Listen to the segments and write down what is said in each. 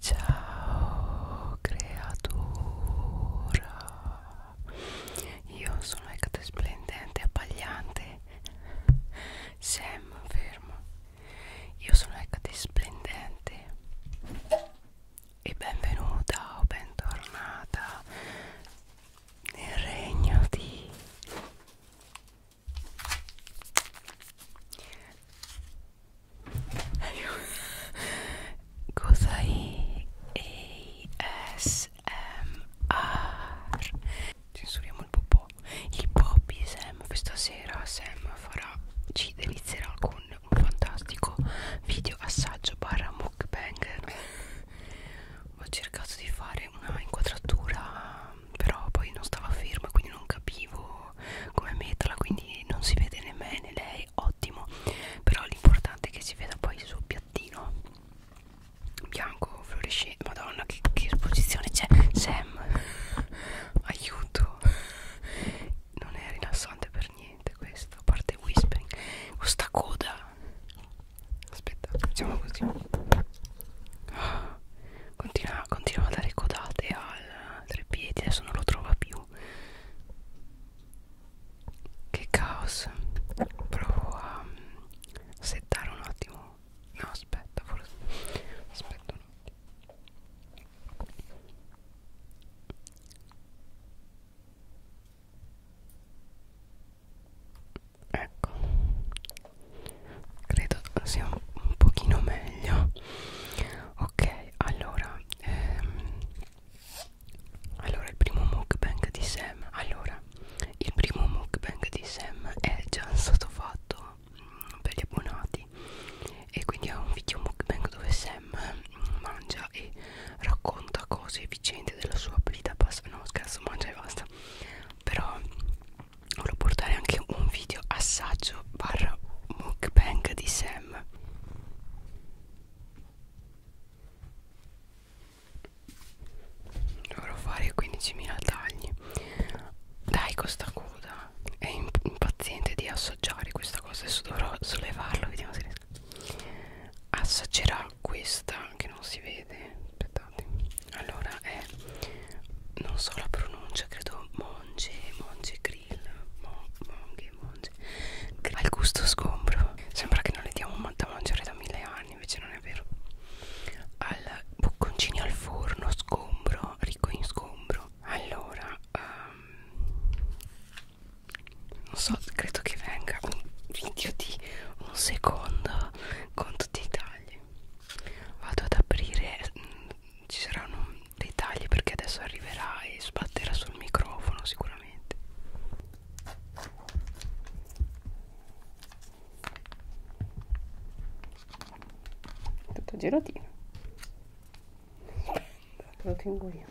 Ciao creatura, io sono Ecate Splendente, abbagliante, Sam fermo, io sono Ecate Splendente e benvenuta o bentornata nel regno di Cos'hai? ASMR Censuriamo il popò Il Bobby Sam Questa sera Sam farà Ci delizierà con un fantastico video assaggio barra mukbang Ho cercato di fare una inquadratura Però poi non stava ferma Quindi non capivo come metal quindi non si vede né me né lei ottimo però l'importante è che si veda poi il suo piattino bianco fluorescente madonna che, che esposizione c'è Sam aiuto non è rilassante per niente questo a parte whispering questa coda aspetta facciamo così continua, continua a dare codate a al treppiedi adesso non lo trova più che caos provo a mm, settare un attimo no aspetta forse aspetta un attimo ecco credo sia un, un pochino meglio ok allora ehm, allora il primo mukbang di Sam allora il primo mukbang di Sam è già stato fatto mh, mm, per gli abbonati e quindi è un video mukbang dove Sam mh, mm, mangia e racconta cose vicende della sua vita passata no scherzo mangia e basta però volevo portare anche un video assaggio barra mukbang di Sam dovrò fare 15.000 tagli dai costa coda è impaziente di assaggiare questa cosa adesso dovrò sollevarlo vediamo se riesco assaggerà questa che non si vede aspettate allora è non so la pronuncia credo monge monge grill mon, monge monge grill. al gusto sgombro sembra che non le diamo da mangiare da mille anni invece non è vero al bocconcini al forno sgombro ricco in sgombro allora um, non so credo che venga un video di un secondo con tutti i tagli vado ad aprire mh, mm, ci saranno dei tagli perché adesso arriverà e sbatterà sul microfono sicuramente tutto girotino lo tengo io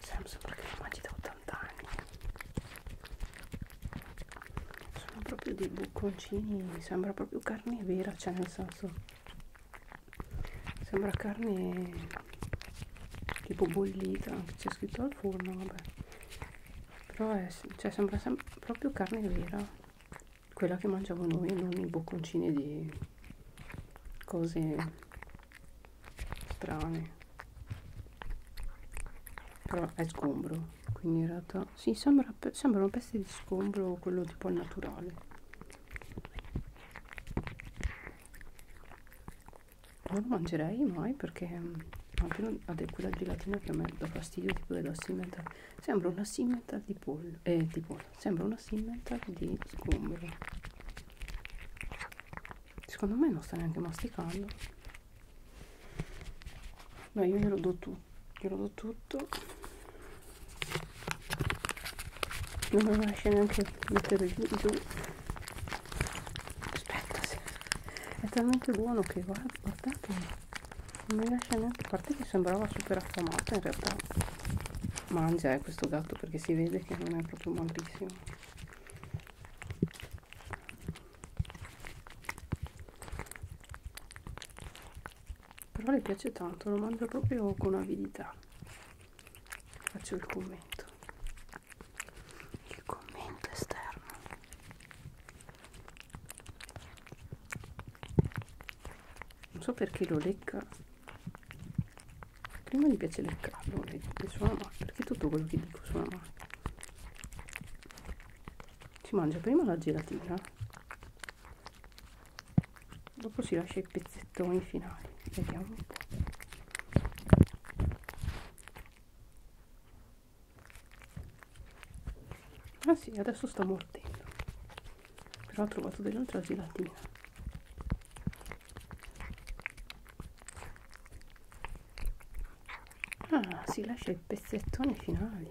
Sembra perché la mangi da 80 anni. Sono proprio dei bocconcini, sembra proprio carne vera, cioè nel senso sembra carne tipo bollita, c'è scritto al forno, vabbè. Però è, cioè, sembra sem proprio carne vera quella che mangiamo noi non i bocconcini di cose strane però è sgombro quindi in realtà si sì, sembra, sembrano pezzi di sgombro quello tipo al naturale non lo mangerei mai perché mm, almeno quella gelatina che a me dà fastidio tipo dello simmental sembra una simmental di pollo eh di pollo sembra una simmental di sgombro secondo me non sta neanche masticando no io glielo do tutto glielo do tutto non mi lascia neanche mettere giù aspetta sì. è talmente buono che guarda, guardate non mi lascia neanche a parte che sembrava super affamata in realtà mangia eh, questo gatto perché si vede che non è proprio malissimo però le piace tanto lo mangia proprio con avidità faccio il commento il commento esterno non so perché lo lecca prima mi piace leccarlo le, le suona male perché tutto quello che dico suona male si mangia prima la gelatina dopo si lascia i pezzettoni finali vediamo un po' Ah sì, adesso sto mordendo. Però ho trovato dell'altra gelatina. Ah, si lascia i pezzettoni finali.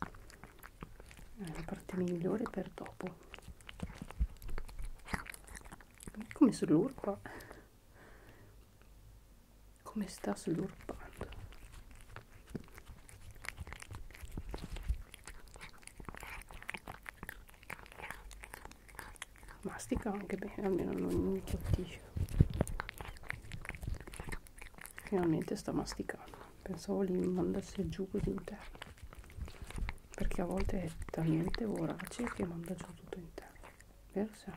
È eh, la parte migliore per dopo. Come sull'urpa come sta slurpando mastica anche bene almeno non mi cottisce finalmente sta masticando pensavo li mandasse giù così interno perché a volte è talmente vorace che manda giù tutto interno vero Sam?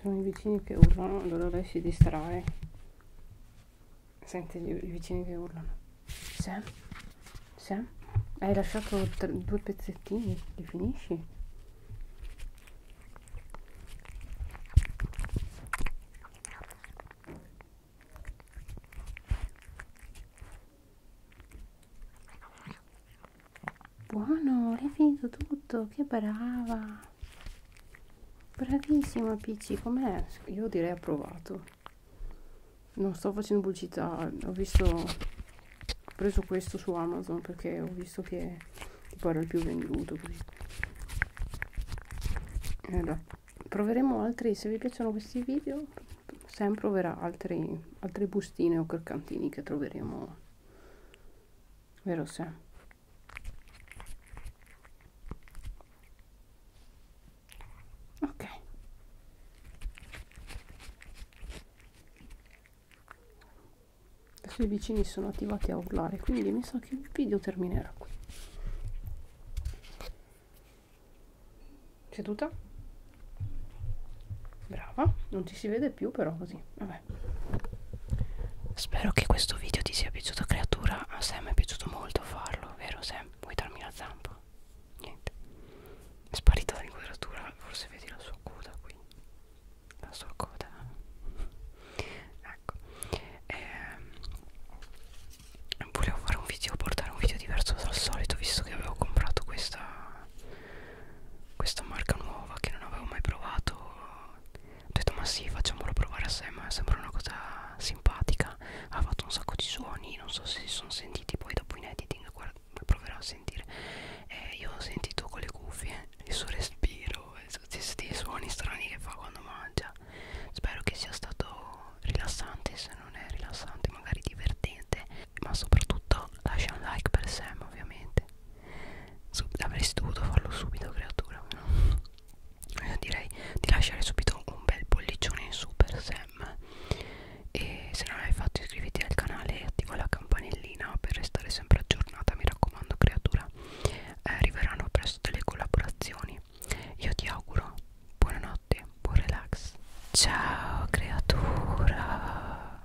sono i vicini che urlano allora lei si distrae sente i vicini che urlano Sam Sam hai lasciato tre, due pezzettini li finisci buono l'hai finito tutto che brava bravissima Peachy com'è? io direi approvato non sto facendo pubblicità ho visto ho preso questo su Amazon perché ho visto che tipo era il più venduto così allora, proveremo altri se vi piacciono questi video Sam proverà altri, altre bustine o croccantini che troveremo vero Sam? ok adesso i vicini sono attivati a urlare quindi mi sa che il video terminerà qui seduta brava non ci si vede più però così vabbè Spero che questo video ti sia piaciuto creatura A Sam è piaciuto molto farlo, vero Sam? Vuoi darmi la zampa? Niente È sparita dall'inquadratura, forse vedi la sua coda qui La sua coda Ecco ehm, Volevo fare un video, portare un video diverso dal solito Visto che avevo comprato questa questa marca nuova che non avevo mai provato ho detto ma sì facciamolo provare a sé ma sembra una cosa simpatica ha fatto un sacco di suoni non so se si sono sentiti poi dopo in editing guarda, proverò a sentire eh, io ho sentito con le cuffie il suo respiro questi suoni strani che fa quando mangia spero che sia stato rilassante se non è rilassante magari divertente ma soprattutto lascia un like per Sam ovviamente Sub avresti dovuto farlo subito creatura no? io direi di lasciare subito un bel pollicione in su per Sam e se non l'hai fatto iscriviti al canale e attiva la campanellina per restare sempre aggiornata mi raccomando creatura eh, arriveranno presto delle collaborazioni io ti auguro buonanotte buon relax ciao creatura